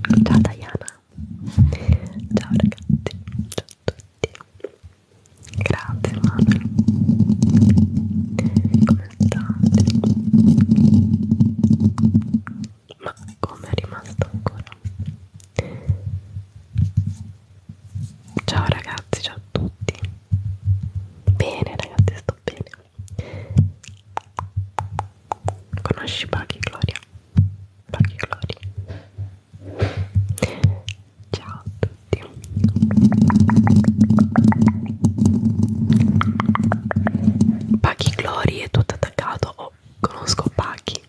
Ciao Diana, ciao ragazzi, ciao a tutti, grazie Manuel, come state? ma come è rimasto ancora ciao ragazzi ciao a tutti bene ragazzi sto bene conosci Paghi Gloria Paghi Gloria ciao a tutti Paghi Gloria è tutto attaccato o oh, io conosco Paki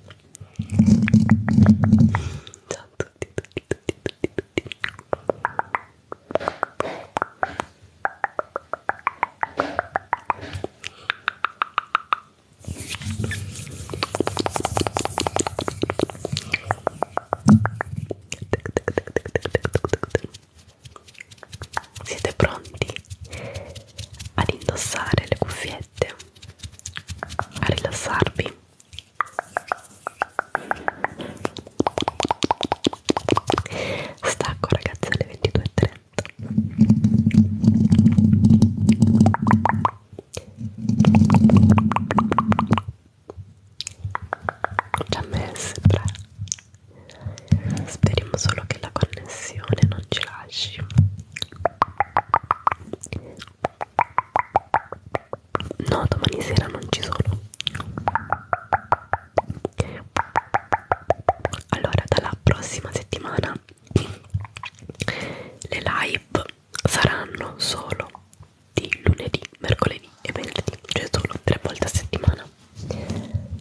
ciao a tutti tutti tutti tutti tutti siete pronti ad indossare le cuffiette? A rilassarvi? Stacco ragazzi alle 22.30 ci ha messo Speriamo solo che la connessione non ci lasci. No, domani sera non ci sono. Allora, dalla prossima settimana le live saranno solo di lunedì, mercoledì e venerdì, cioè solo tre volte a settimana.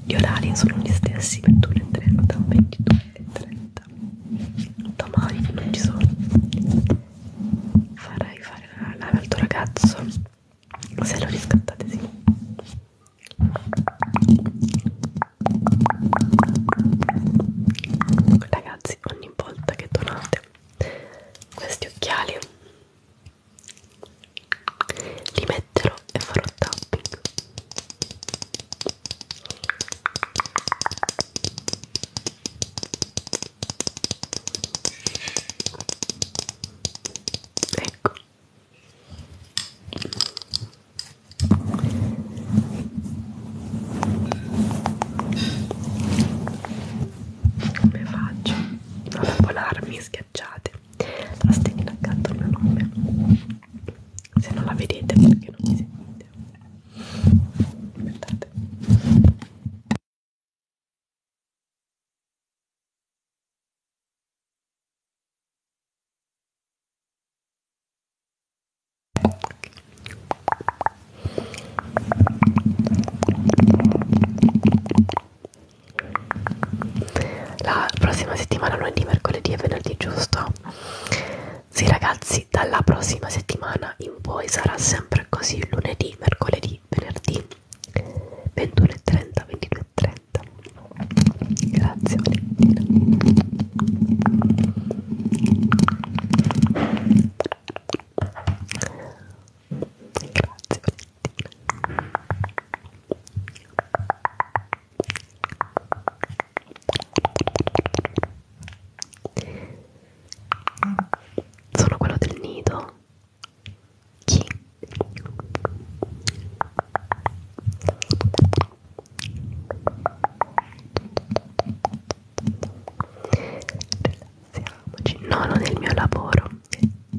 Gli orari sono gli stessi 21.30, 22.30. Domani non ci sono. Farei fare la live al tuo ragazzo se lo riscattate, sì. Ragazzi, ogni volta che donate questi occhiali li metterò e farò tapping ecco come faccio a polarmi schiacciate la stella accanto al mio nome se non la vedete perché non mi sentite aspettate la prossima settimana, lunedì, mercoledì e venerdì, giusto? Sì ragazzi, dalla prossima settimana in poi sarà sempre così, lunedì, mercoledì, venerdì, 21.30, 22.30. Grazie Valentina. Grazie Valentina. Sono quello del nido. Chi? Rilassiamoci. No, non è il mio lavoro,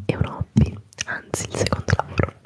è un hobby, anzi il secondo lavoro.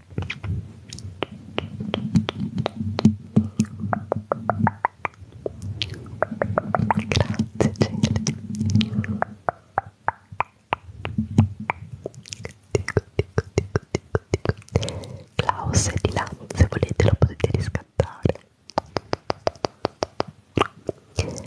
Grazie Celi dico, dico, dico, dico, dico. Klaus è di là, se volete lo potete riscattare Grazie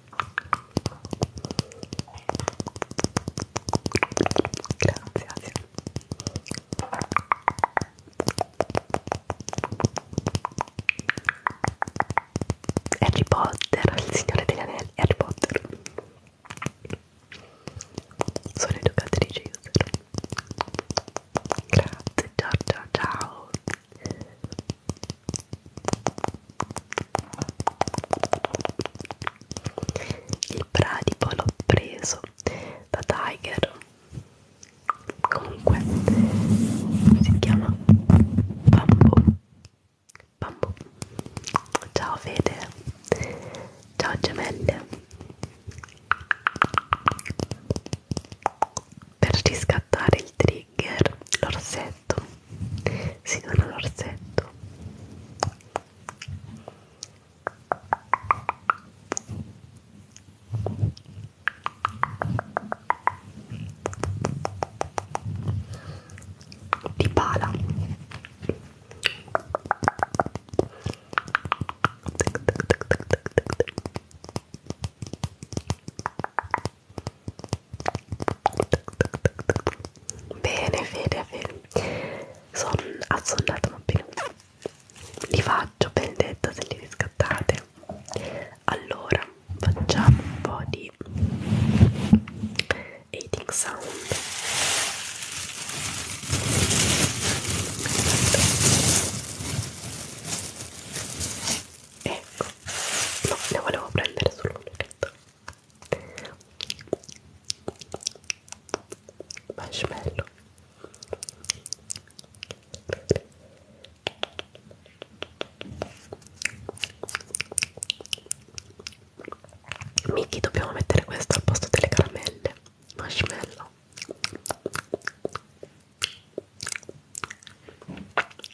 Grazie, grazie. Harry Potter, il signore degli anelli, Harry Potter. Sono educatrice user. Grazie, ciao ciao ciao. Il pratico l'ho preso da Tiger. Comunque si chiama Bamboo. Bamboo. Ciao Fede. Ciao gemelle. Per riscattare il trigger trigger l'orsetto si dona l'orsetto di pala Bene, fede, fede. Sono assonnata ma bene. Li faccio vendetta se li riscattate. Allora, facciamo un po' di eating sound. Aspetta ecco no, ne volevo prendere solo un orecchio marshmallow Miki dobbiamo mettere questo al posto delle caramelle marshmallow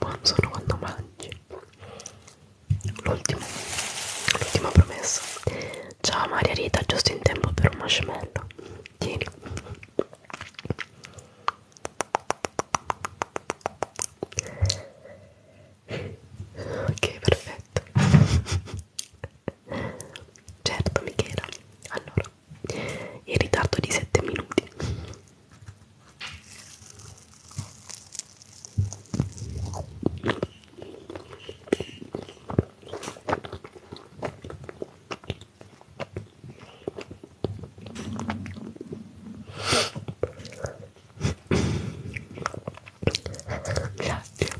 buon sonno quando mangi l'ultima promessa ciao Maria Rita giusto in tempo per un marshmallow tieni ok perfetto Certo Michela, allora, in ritardo di 7 minuti. Grazie.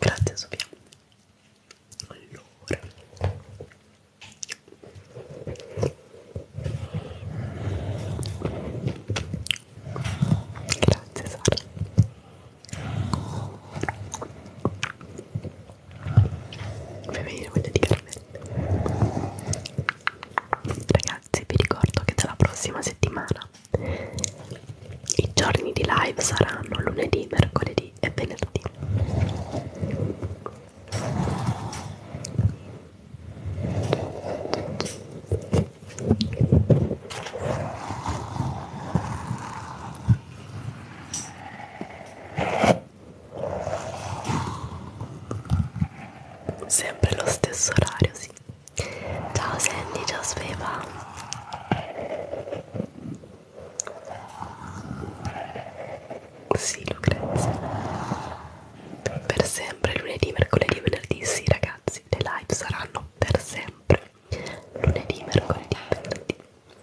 Grazie Sofia. Allora. Grazie Sara per venire voglia di caramelle ragazzi vi ricordo che dalla prossima settimana i giorni di live saranno lunedì, mercoledì e venerdì Sempre lo stesso orario, sì. Ciao Sandy, ciao Sveva. Sì, Lucrezia. Per sempre lunedì, mercoledì, venerdì, sì ragazzi, le live saranno per sempre. Lunedì, mercoledì, venerdì. Grazie.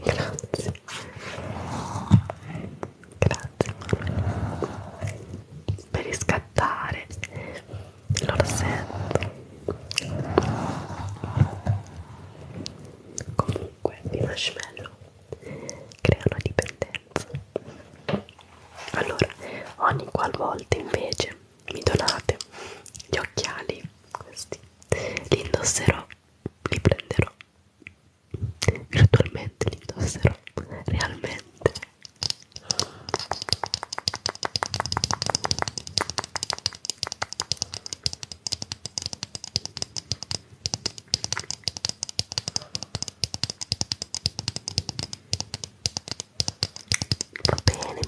Grazie per riscattare l'orsetto comunque i marshmallow creano dipendenza allora ogni qualvolta invece mi donate gli occhiali questi li indosserò li prenderò virtualmente li indosserò realmente Va bene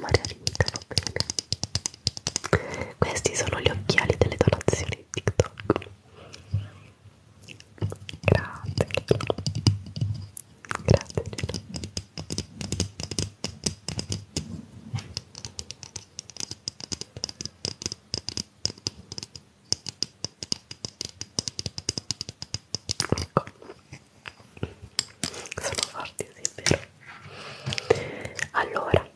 Maria Rita, va bene. Questi sono gli occhiali delle donazioni di TikTok. Grazie. Grazie Gino. Ecco. Sono forti, sì, è vero. Allora,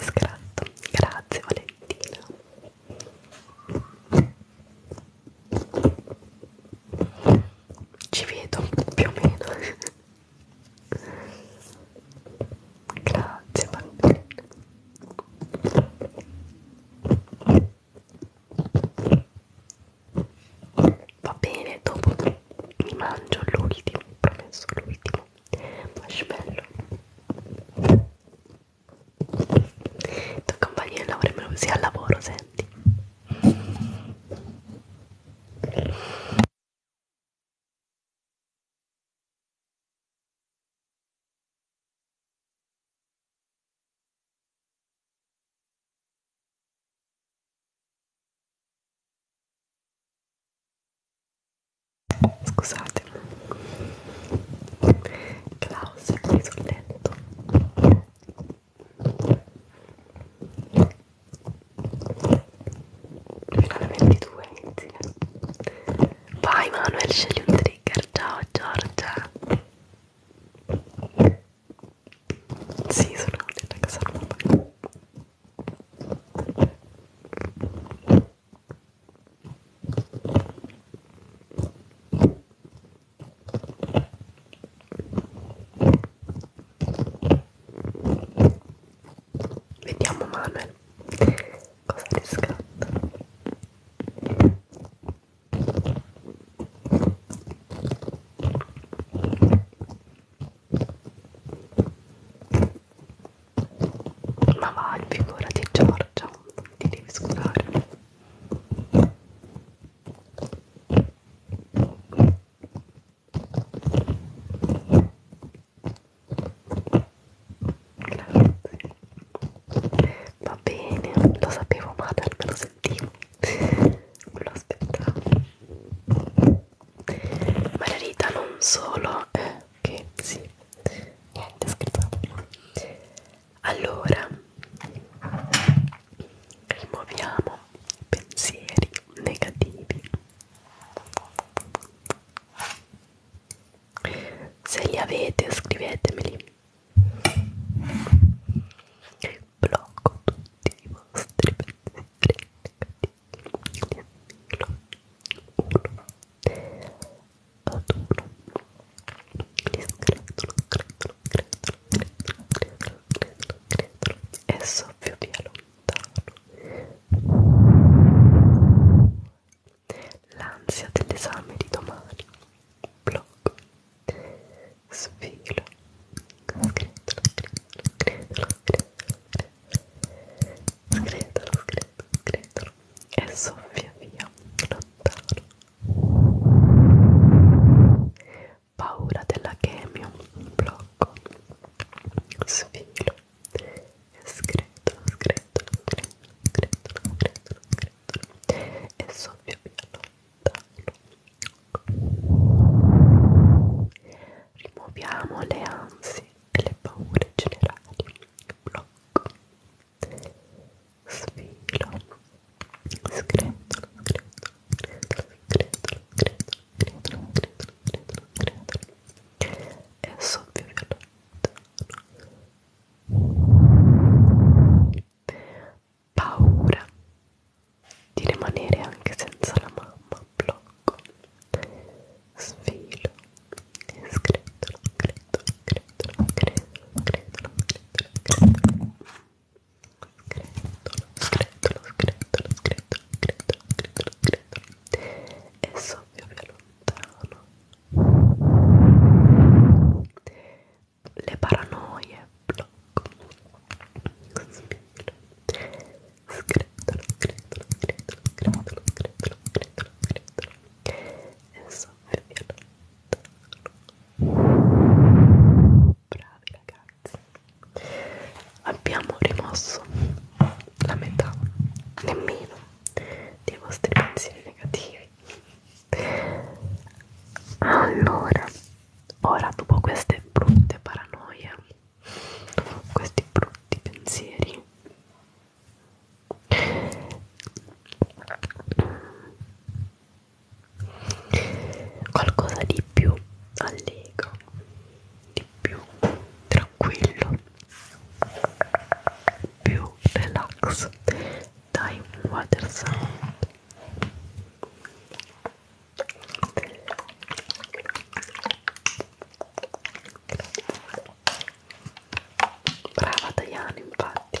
scratto. Grazie Valentina ci vedo più o meno grazie bambina va bene dopo mi mangio l'ultimo promesso l'ultimo marshmallow tua compagnia di lavoro me lo usi al lavoro, senti. Scusate, Klaus è qui sul letto fino alle 22 inizia vai Manuel scegli un trigger ciao Giorgia sì sono contenta che sono Vediamo Manuel cosa riscatta. Ma vai, figurati Giorgia, ti devi scusare. Va bene, lo sapevo ma me lo sentivo, non lo aspettavo. Margherita non solo, eh, che sì, niente, scherzo. Allora, rimuoviamo pensieri negativi. Se li avete, scrivetemeli. Blocco tutti i vostri pensieri negativi. Uno ad uno. Li scretolo, scretolo, credetelo, credetelo, credetelo, credetelo, credetelo, credetelo e soffio via lontano l'ansia dell'esame di domani blocco sfilo credetelo, credetelo, credetelo, credetelo, credetelo, credetelo, credetelo e soffia via lontano paura della chemio, blocco, sfilo, escretolo, escretolo, escretolo, escretolo, escretolo e soffio via lontano. Rimuoviamo le ansie e le paure generali, blocco, sfilo, scretolo, scretolo, scretolo, scretolo, scretolo, e soffio violento. Paura di rimanere anche senza la mamma, blocco, sfilo, scretolo, scretolo, scretolo, scretolo, scretolo, scretolo, Scretolo, scretolo, scretolo, scretolo, scretolo, scretolo, scretolo E soffio più lontano Le paranoie, blocco Spiro Scretolo, scretolo, scretolo, scretolo, scretolo, scretolo, scretolo E soffio più lontano bravi ragazzi abbiamo rimosso la metà nemmeno dei vostri pensieri negativi allora ora dopo queste brutte paranoie dopo questi brutti pensieri qualcosa di più allegro, di più tranquillo, più relax dai un water sound brava Diana infatti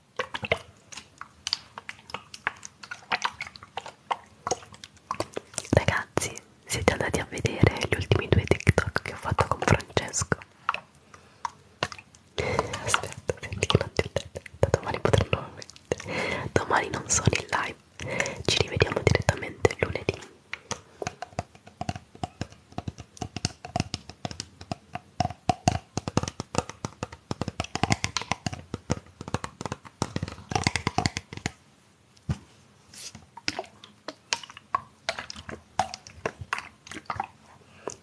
Ragazzi, siete andati a vedere gli ultimi due TikTok che ho fatto con Francesco? Aspetta, senti che non ti ho detto. Da domani potranno mettere. Domani non sono in live. Ci rivediamo direttamente lunedì.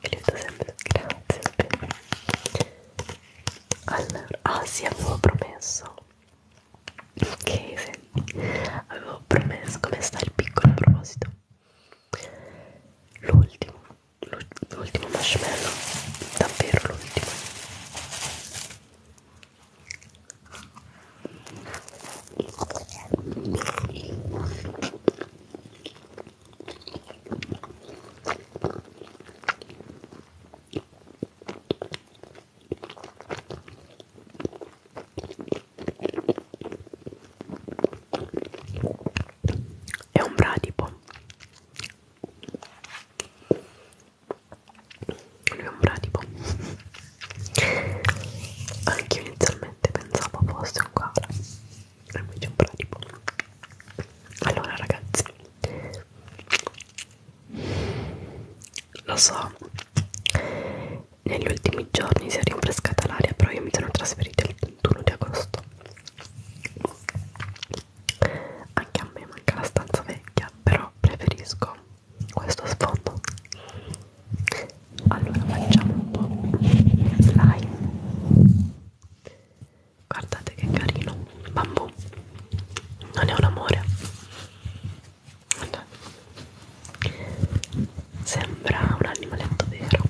Ele sempre grande. Allora, ah sì, avevo promesso. Ok, sì. avevo promesso come sta il piccolo proposito. L'ultimo l'ultimo marshmallow davvero l'ultimo è un bradipo lui è un bradipo anche io inizialmente pensavo fosse un koala e invece è un bradipo allora ragazzi lo so negli ultimi giorni si è rinfrescata l'aria però io mi sono trasferita il 21 di agosto anche a me manca la stanza vecchia, però preferisco questo sfondo. Allora facciamo un po' slime. Guardate che carino, bambù. Non è un amore. Guardate. Sembra un animaletto vero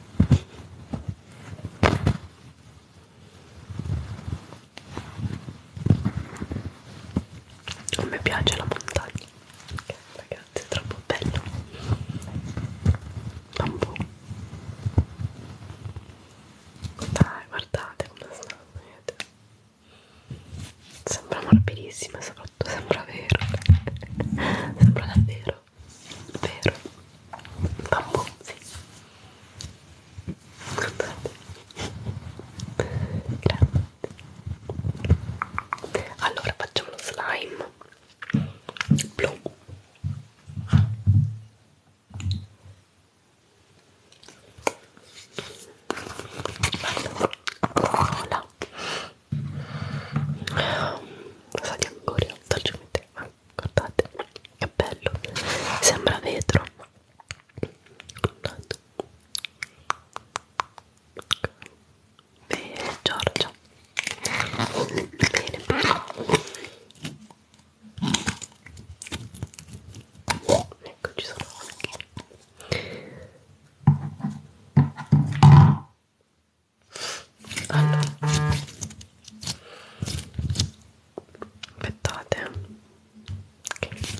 non mi piace la montagna okay, ragazzi è troppo bello bambù dai guardate come stanno vedete sembra morbidissima soprattutto sembra vero sembra davvero vero bambù, sì scusate grazie allora facciamo lo slime blu Cola Rosa di Angoria, dolcemente, ma guardate che bello sembra vetro guardate. Bene, Giorgia. Bene, bene. Ecco, ci sono anche. Allora aspettate okay. Sì,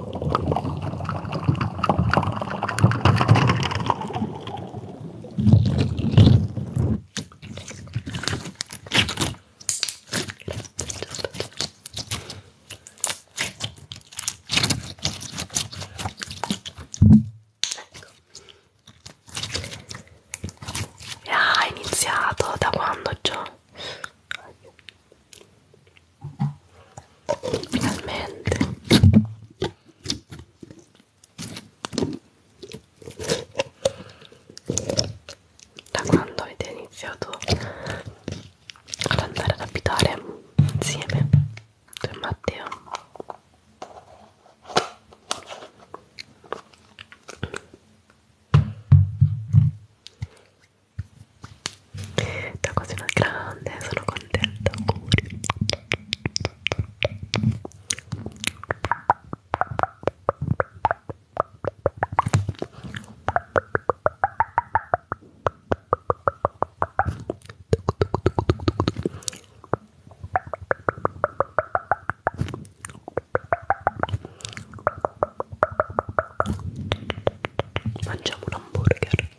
Ecco. Ah, è iniziato da quando già? finalmente da quando avete iniziato ad andare ad abitare insieme tu e Matteo da quasi una grande, sono contenta, auguri. Mangiamo un hamburger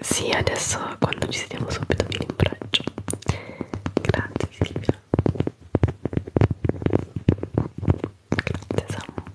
Sì, adesso quando ci sediamo subito vi rimbraccio. Grazie Silvia. Grazie Samu. Grazie.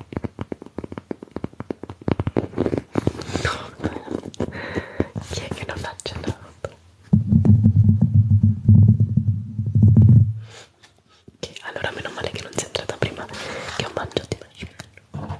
No, chi è che non ha accennato? Che allora meno male che non sia entrata prima che ho mangiato i marshmallow.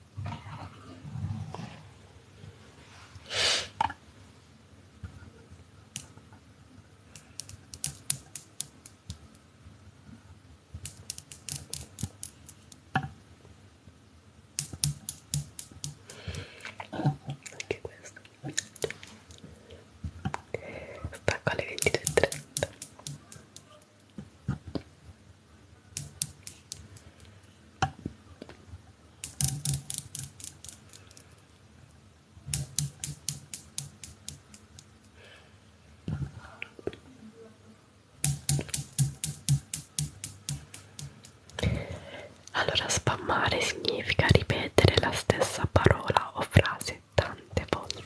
anche questo stacco alle 22.30 allora, spammare significa ripetere la stessa parola o frase tante volte.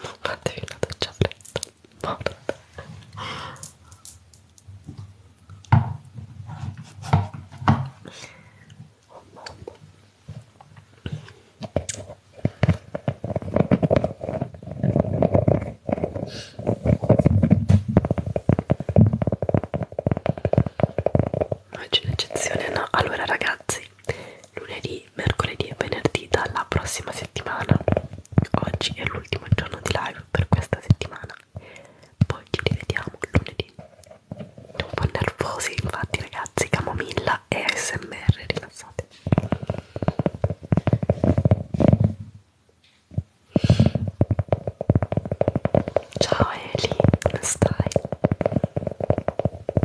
non fatevi una doccia fredda morta oh Oggi un'eccezione no, allora ragazzi mesi, lunedì, mercoledì e venerdì dalla prossima settimana. Oggi è l'ultimo giorno di live per questa settimana. Poi ci rivediamo lunedì. Un po' nervosi, infatti, ragazzi, camomilla e ASMR rilassate. Ciao Eli, come stai?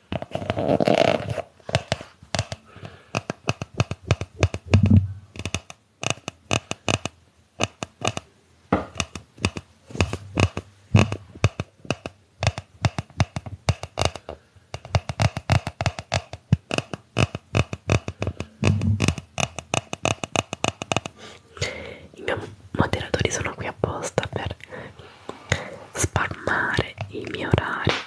I miei moderatori sono qui apposta per spammare i miei orari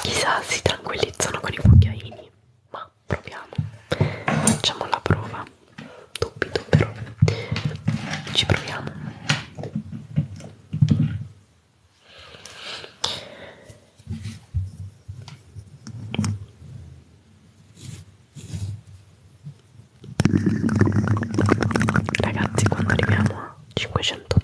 Chissà, si tranquillizzano con i cucchiaini, ma proviamo. Facciamo la prova. Dubito però. Ci proviamo. Ragazzi, quando arriviamo a 500.000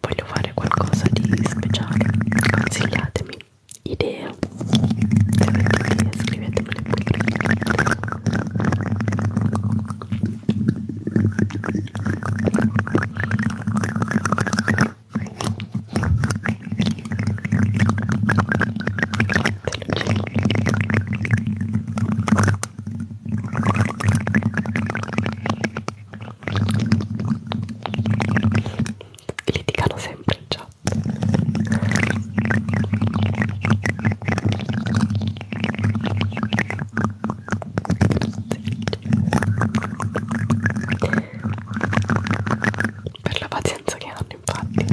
voglio fare qualcosa di speciale consigliatemi idee se avete idee scrivetemele pure Grazie litigano sempre in chat per la pazienza che hanno infatti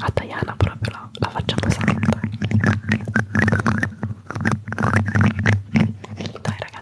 a Diana proprio la, la facciamo santa dai ragazzi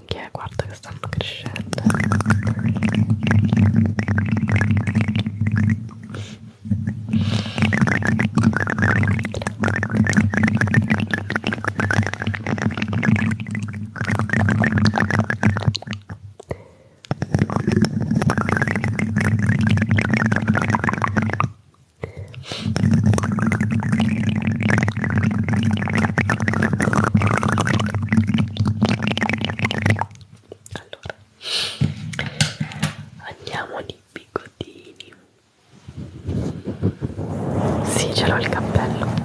unghie, eh, guarda che stanno crescendo allora andiamo di bigottini sì ce l'ho il cappello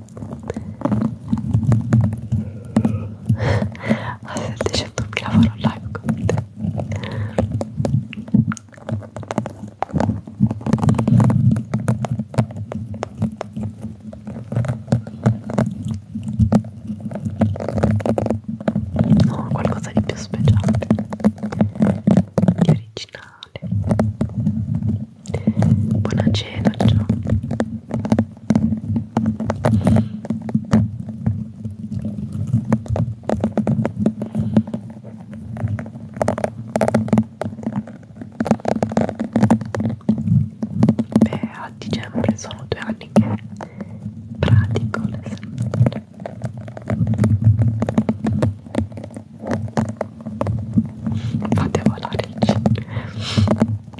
a 700.000 farò live con te no, qualcosa di più speciale di originale Buona cena, ciao. Beh, a dicembre sono due anni che pratico le sandali. Fate volare il cibo.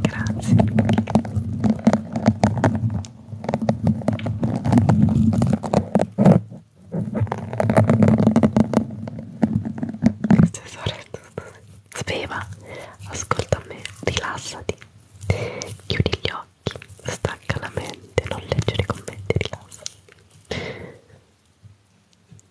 Grazie. Speva, ascolta me, rilassati, chiudi gli occhi, stacca la mente, non leggere i commenti, rilassati.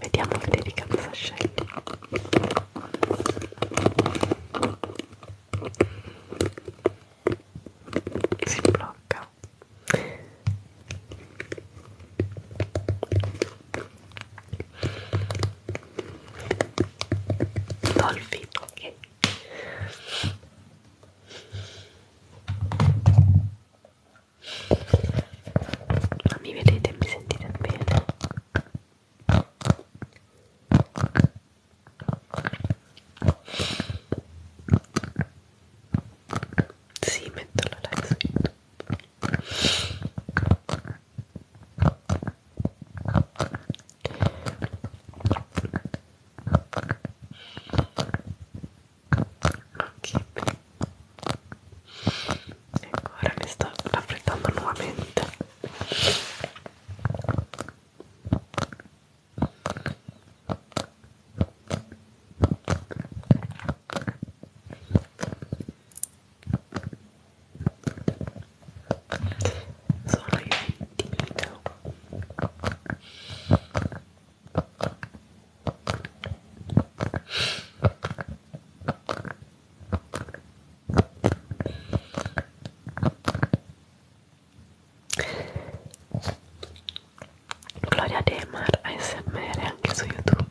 Vediamo che dedicanza scelto. Si blocca. Dolphin, ok ma mi vedete e mi sentite bene sì, metto la live su YouTube ok, bene ecco ora mi sto raffreddando nuovamente sono io timido Gloria de Mar ASMR aquí en su YouTube.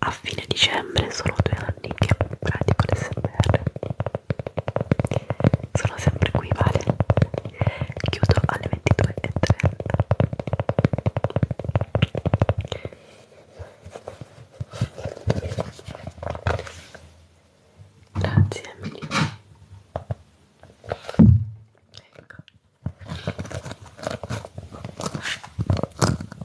a fine dicembre sono due anni che pratico l'SMR sono sempre qui vale chiudo alle 22.30 grazie Emily ecco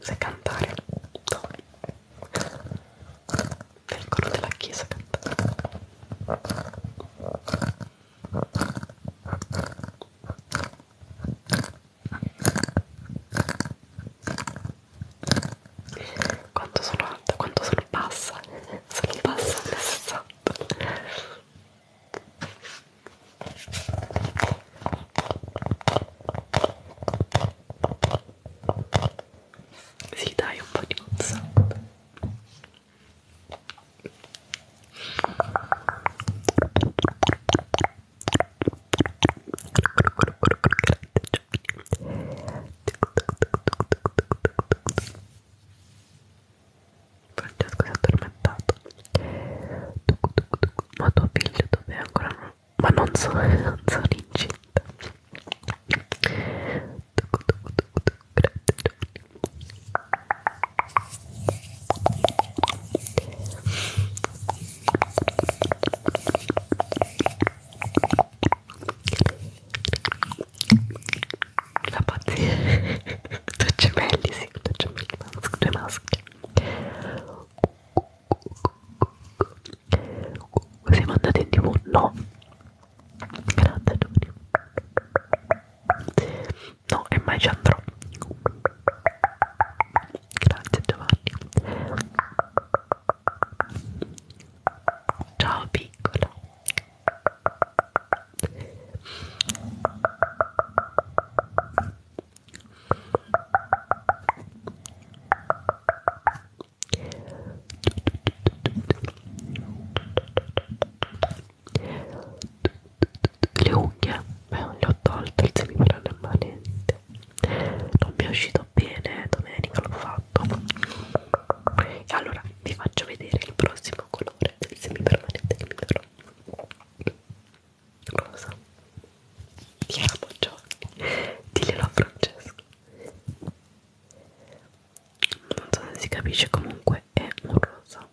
sai cantare no. nel coro della chiesa cantare quanto sono alta, quanto sono bassa sono bassa, 60 sì, dai, un po' di mozzarella. Francesco si è addormentato ma tuo figlio dov'è ancora non, ma non sono, non sono incinta la pazzia due gemelli, sì, due gemelli, due maschere siamo andati in tv? no grande Giovanni no e mai ci andrò grazie Giovanni ciao piccola le unghie beh, le ho tolte il semipermanente non mi è uscito bene domenica l'ho fatto e allora vi faccio vedere il prossimo colore del semipermanente che mi darò rosa Chiara Poggioli diglielo a Francesco non so se si capisce comunque è un rosa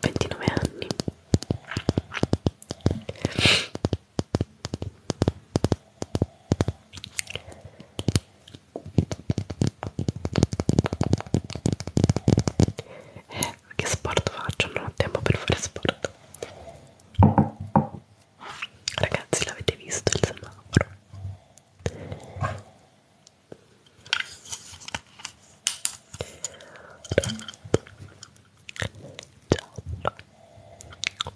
Ventinove anni eh, che sport faccio? Non ho tempo per fare sport. Ragazzi, l'avete visto il semaforo? Giallo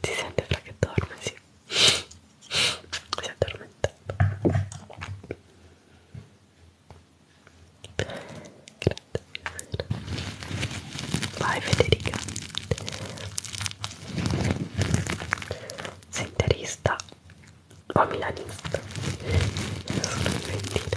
si sente fra che dorme, sì si è addormentato vai Federica senterista o milanista sono argentina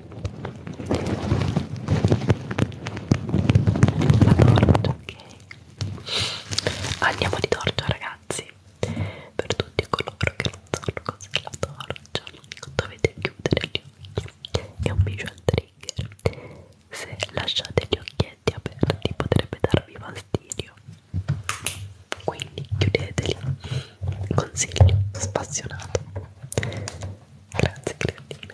torcia, ok? Andiamo di torcia, ragazzi. Per tutti coloro che non sanno cos'è la torcia, dovete chiudere gli occhi. È un visual trigger. Se lasciate gli occhietti aperti, potrebbe darvi fastidio. Quindi chiudeteli. Consiglio spassionato. Grazie, Creatina.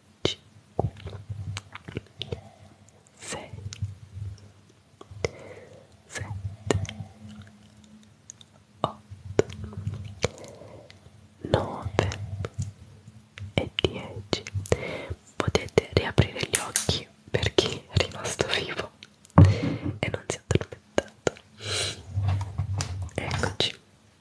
5 6 7 8 9 e 10 potete riaprire gli occhi per chi è rimasto vivo e non si è addormentato eccoci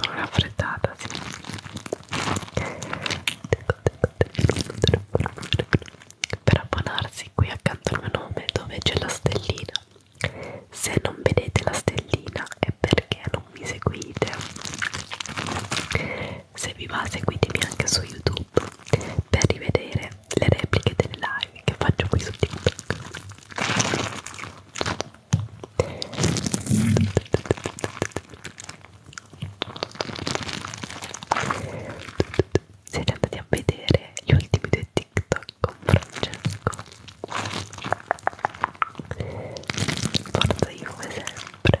con una freddata sì. per abbonarsi qui accanto al mio nome dove c'è la stellina se non vedete la stellina è perché non mi seguite se vi va seguitemi anche su YouTube per rivedere le repliche delle live che faccio qui su TikTok. Siete andati a vedere gli ultimi due TikTok con Francesco. Forza io come sempre.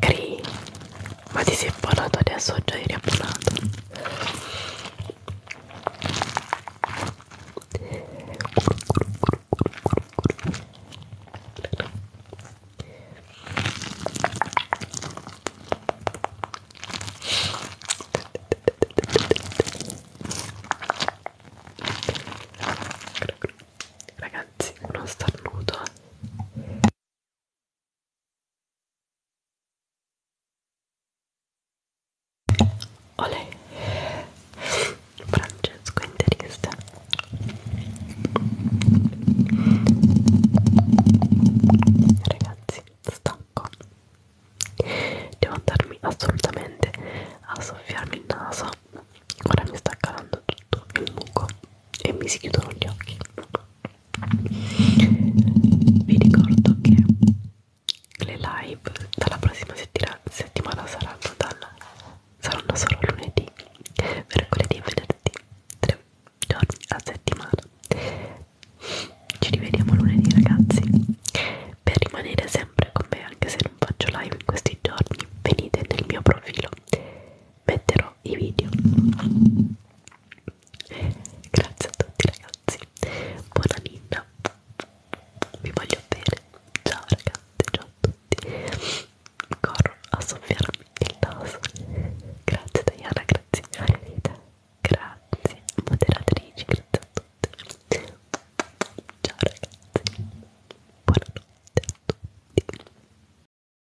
Cri, ma ti sei abbonato adesso? Già eri abbonato. Ragazzi, uno starnuto eh. Olè Francesco interista Ragazzi stacco Devo andarmi assolutamente a soffiarmi il naso Ora mi sta calando tutto il muco e mi si chiudono gli occhi vi ricordo che le live dalla prossima settimana, settimana saranno, dal, saranno solo lunedì, mercoledì e venerdì, tre giorni a settimana. Ci rivediamo lunedì ragazzi, per rimanere sempre con me anche se non faccio live in questi giorni, venite nel mio profilo, metterò farò i video grazie a tutti ragazzi buona ninna vi voglio bene ciao ragazzi ciao a tutti corro a soffiarmi il naso grazie Diana grazie Marita grazie moderatrici grazie a tutti ciao ragazzi buonanotte a tutti